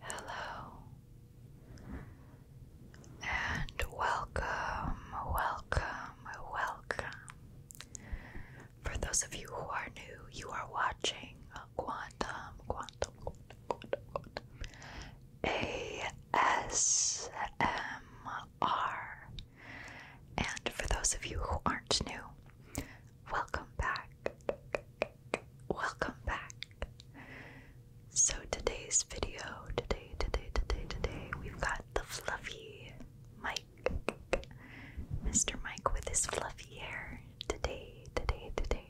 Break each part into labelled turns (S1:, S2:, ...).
S1: Hello and welcome, welcome, welcome. For those of you who are new, you are watching Quantum, Quantum, Quantum, Quantum, Quantum ASMR. And for those of you who aren't new, welcome back. Welcome back. So, today's video, today, today, today, today, we've got the fluffy Mike. Mr. Mike with his fluffy hair today, today, today.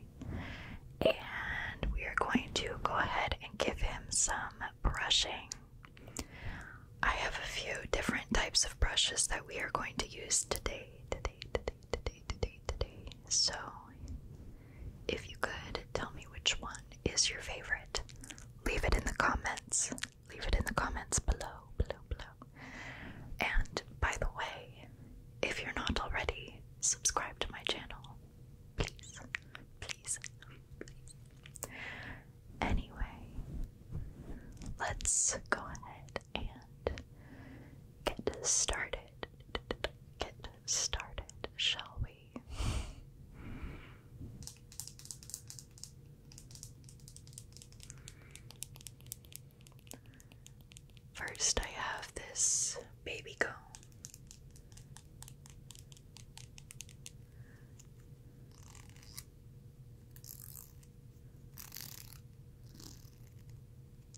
S1: And we are going to go ahead and give him some brushing. I have a few different types of brushes that we are going to use today, today, today, today, today, today. So, if you could tell me which one is your favorite, leave it in the comments. Leave it in the comments below, below, below. And by the way, if you're not already, subscribe to my channel. Please, Anyway, let's go ahead and get started. Get started, shall we? First, I have this baby comb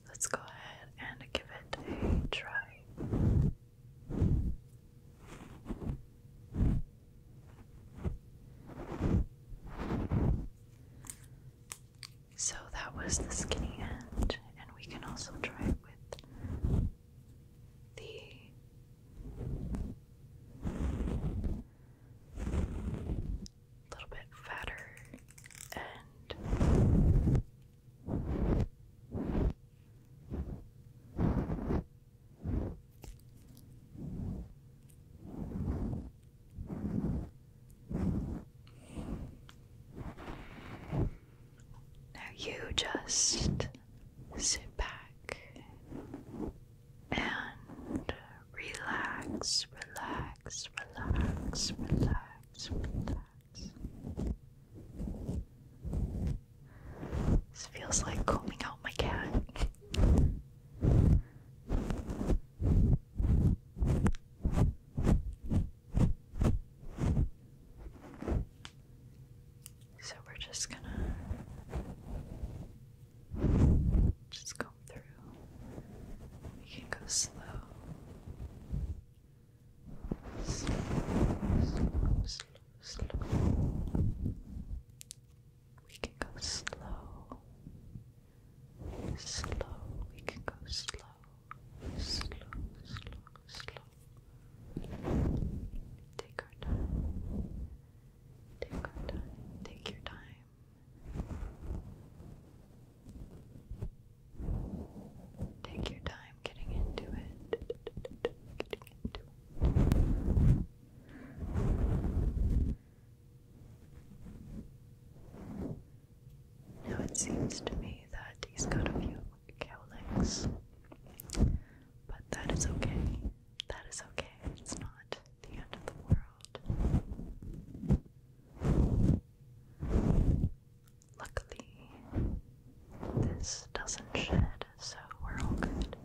S1: Let's go ahead and give it a try. So that was the skinny end, and we can also try it with the little bit fatter and now you just sit back and relax, relax, relax, relax, relax. This feels like combing out my cat. So we're just gonna just go through. We can go slow. Slow, slow, slow, We can go slow. Slow. We can go slow slow, slow, slow. Take our time. Take our time. Take your time. Take your time getting into it. Getting into it. Now it seems to me that he's got a few cowlicks. But that is okay. That is okay. It's not the end of the world. Luckily, this doesn't shed, so we're all good.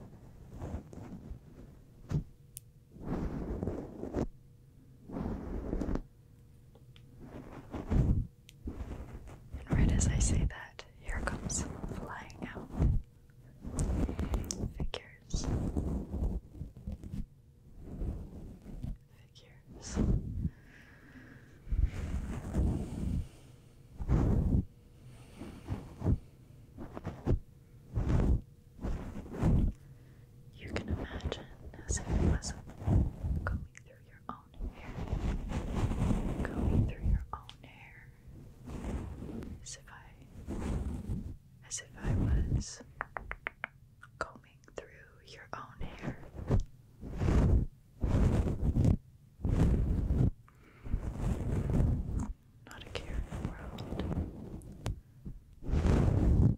S1: And right as I say that, here comes flying out figures. Figures. You can imagine as if it was going through your Going through your own hair. As if I as if I was combing through your own hair. Not a care in the world.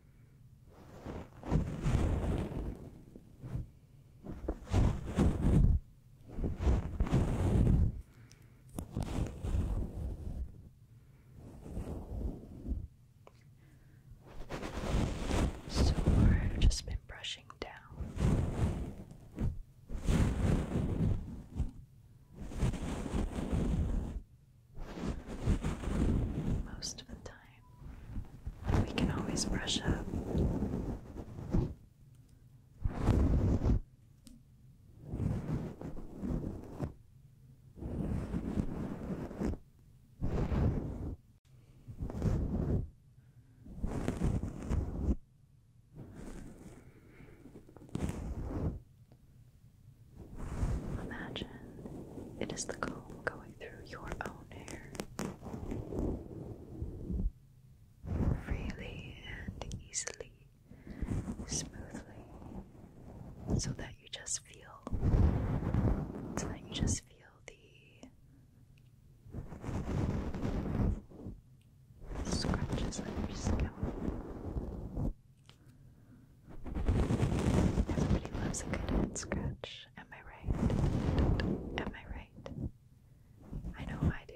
S1: So I've just been brushing down most of the time. We can always brush up. Imagine it is the comb going through your own hair. Freely and easily, smoothly, so that you just feel, so that you just feel the scratches on your scalp. Everybody loves a good head scratch. Am I right? Am I right? I know I do.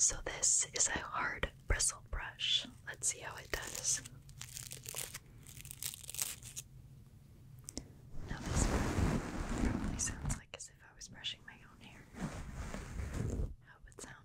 S1: So, this is a hard bristle brush. Let's see how it does. Now, this probably sounds like as if I was brushing my own hair. How would sound.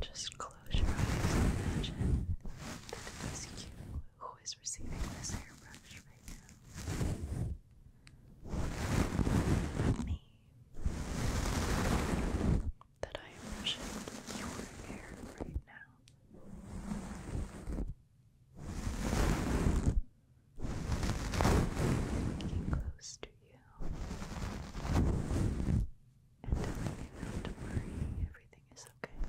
S1: Just close your eyes and imagine that it was you who is receiving this airbrush right now that I am brushing your hair right now. Getting close to you and telling you not to worry, everything is okay.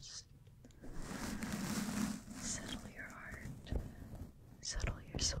S1: Just settle your heart, settle your soul.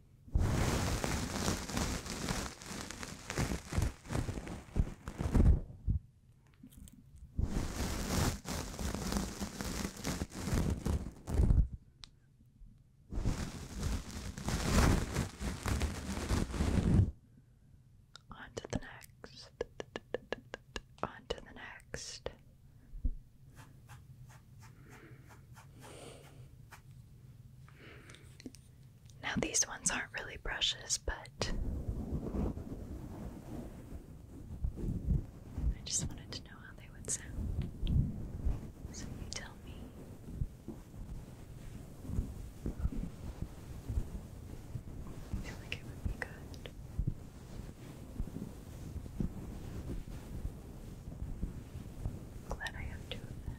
S1: On to the next. On to the next. Now, these ones aren't really brushes, but I just wanted to know how they would sound. So, you tell me. I feel like it would be good i glad I have two of them.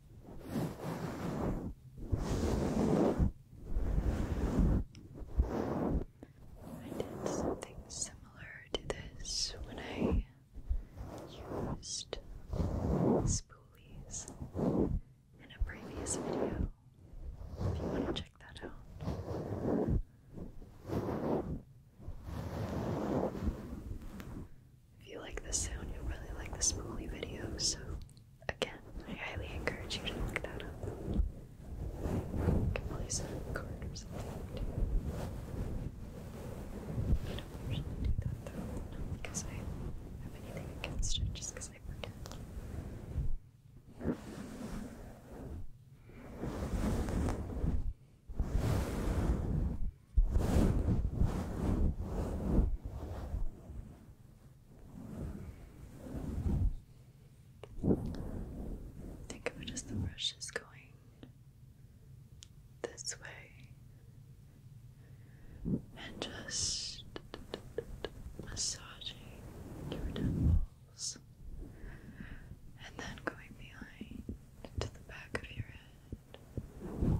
S1: I did something similar to this when I used spoolies in a previous video. If you want to check that out. If you like the sound, you'll really like the spoolie video, so Again, I highly encourage you to look that up. You can place a card or something. I don't usually do that though, because I have anything against it, just because I forget. Okay. Think of it as the brush is going this way and just massaging your temples and then going behind to the back of your head.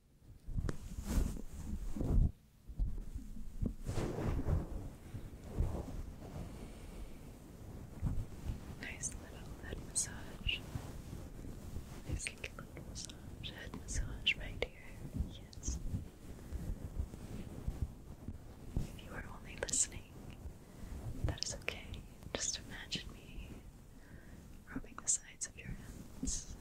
S1: Nice little head massage. Nice little massage. Head massage right here. Yes. If you are only listening, that is okay. Just imagine me rubbing the sides of your hands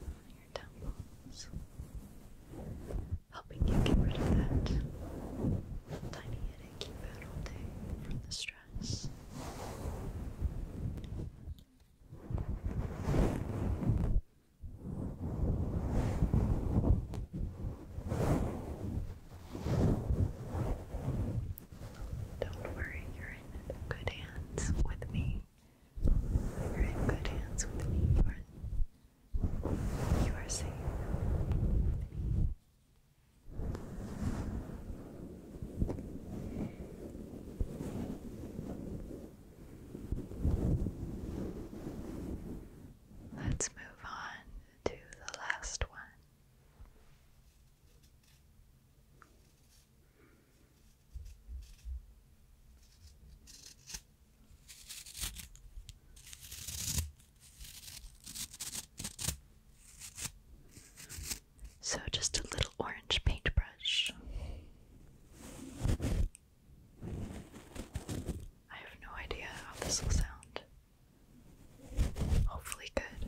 S1: helping you get rid of that tiny headache you've had all day from the stress. Don't worry, you're in good hands with me. You're in good hands with me, You are safe with me. Let's move on to the last one. So, just a little orange paintbrush. I have no idea how this will sound. Hopefully, good.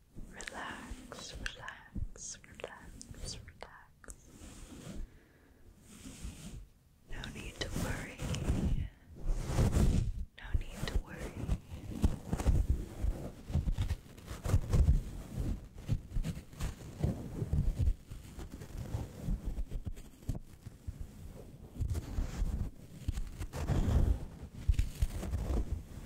S1: Relax, relax, relax, relax. No need to worry. No need to worry.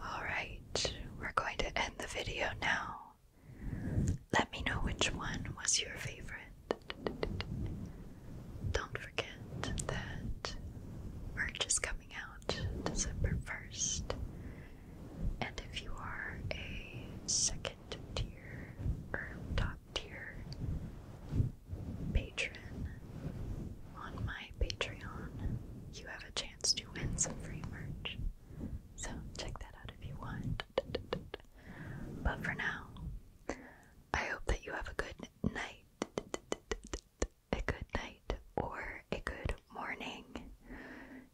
S1: All right, we're going to end the video now. Let me know which one was your favorite. Don't forget that merch is coming out December 1st. And if you are a second tier or top tier patron on my Patreon, you have a chance to win some free merch. So check that out if you want. But for now, I hope that you have a good night, a good night, or a good morning